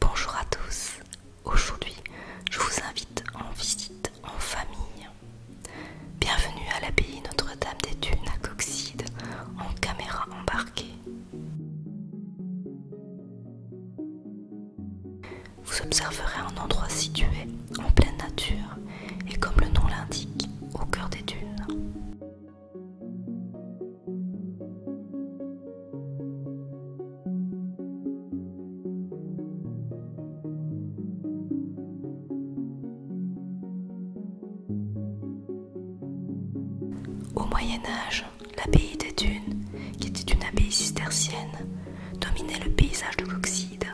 Bonjour à tous, aujourd'hui je vous invite en visite en famille. Bienvenue à l'abbaye Notre-Dame des Dunes à Coxide en caméra embarquée. Vous observerez un endroit situé en pleine nature et comme le nom l'indique, au cœur des dunes. Au Moyen Âge, l'abbaye des Dunes, qui était une abbaye cistercienne, dominait le paysage de l'Oxide.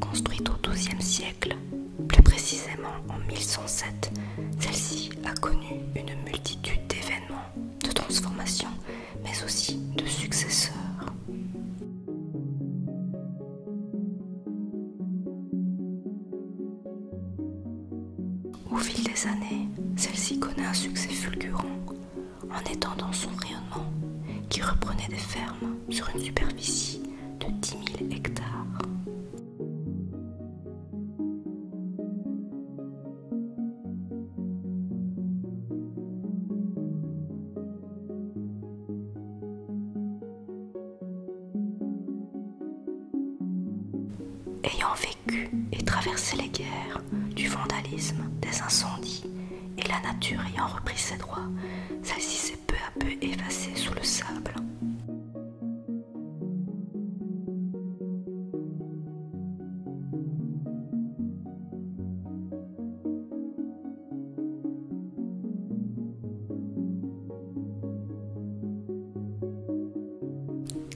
Construite au XIIe siècle, plus précisément en 1107, celle-ci a connu une multitude d'événements, de transformations, mais aussi de successeurs. Au fil des années, celle-ci connaît un succès fulgurant, en étendant son rayonnement qui reprenait des fermes sur une superficie de 10 000 hectares et traversé les guerres, du vandalisme, des incendies, et la nature ayant repris ses droits, celle-ci s'est peu à peu effacée sous le sable.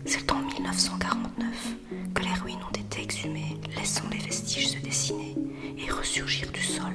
C'est en 1949 que les ruines ont été exhumées, laissant les vestiges se dessiner et ressurgir du sol.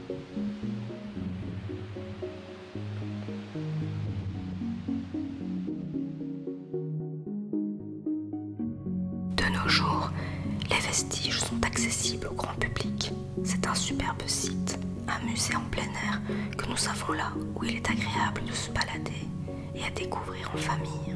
De nos jours, les vestiges sont accessibles au grand public. C'est un superbe site, un musée en plein air que nous avons là où il est agréable de se balader et à découvrir en famille.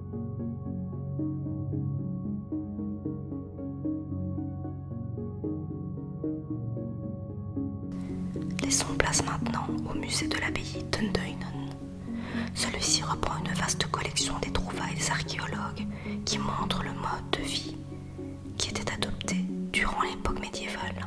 Laissons place maintenant au musée de l'abbaye Dunduinen. Celui-ci reprend une vaste collection des trouvailles des archéologues qui montrent le mode de vie qui était adopté durant l'époque médiévale.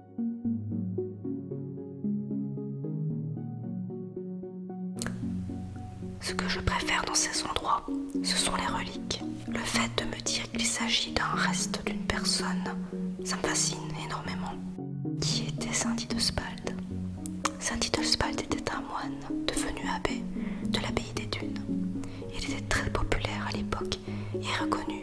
Ce que je préfère dans ces endroits, ce sont les reliques. Le fait de me dire qu'il s'agit d'un reste d'une personne, ça me fascine énormément. Qui était Saint Didospald Saint Didospald était un moine devenu abbé de l'abbaye des Dunes. Il était très populaire à l'époque et reconnu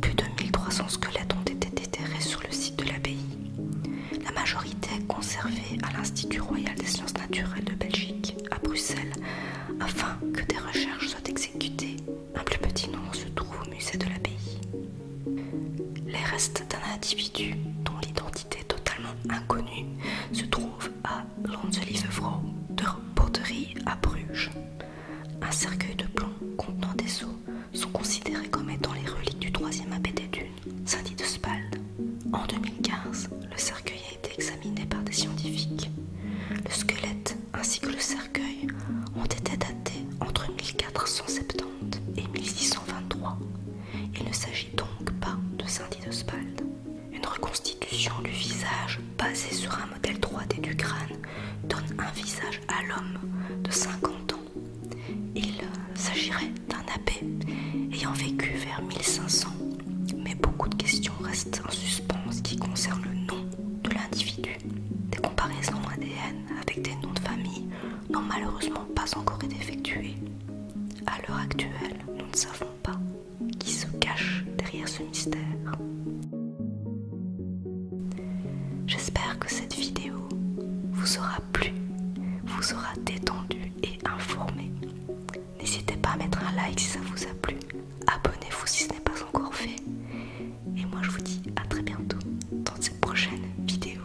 Plus de 1300 squelettes ont été déterrés sur le site de l'abbaye, la majorité conservée à l'Institut royal des sciences naturelles de Belgique à Bruxelles, afin que des recherches soient exécutées. Un plus petit nombre se trouve au musée de l'abbaye. Les restes d'un individu dont l'identité est totalement inconnue se trouvent à Lonzelievevrouw de Porterie à Bruges. Un cercueil de plomb contenant des os sont considérés comme étant les reliques du troisième abbé des dunes, saint de Spalde. En 2015, le cercueil a été examiné par des scientifiques. Le squelette ainsi que le cercueil ont été datés entre 1470 et 1623. Il ne s'agit donc pas de saint de Spalde. Une reconstitution du visage basée sur un modèle 3D du crâne donne un visage à l'homme de 50 ans. Il euh, s'agirait d'un abbé ayant vécu vers 1500, mais beaucoup de questions restent en suspens qui concernent le nom de l'individu. Des comparaisons ADN avec des noms de famille n'ont malheureusement pas encore été effectuées. À l'heure actuelle, nous ne savons pas qui se cache derrière ce mystère. J'espère que cette vidéo vous aura plu, vous aura détendu et informé. N'hésitez pas à mettre un like si ça vous a plu, abonnez-vous si ce n'est pas encore fait. Et moi je vous dis à très bientôt dans cette prochaine vidéo.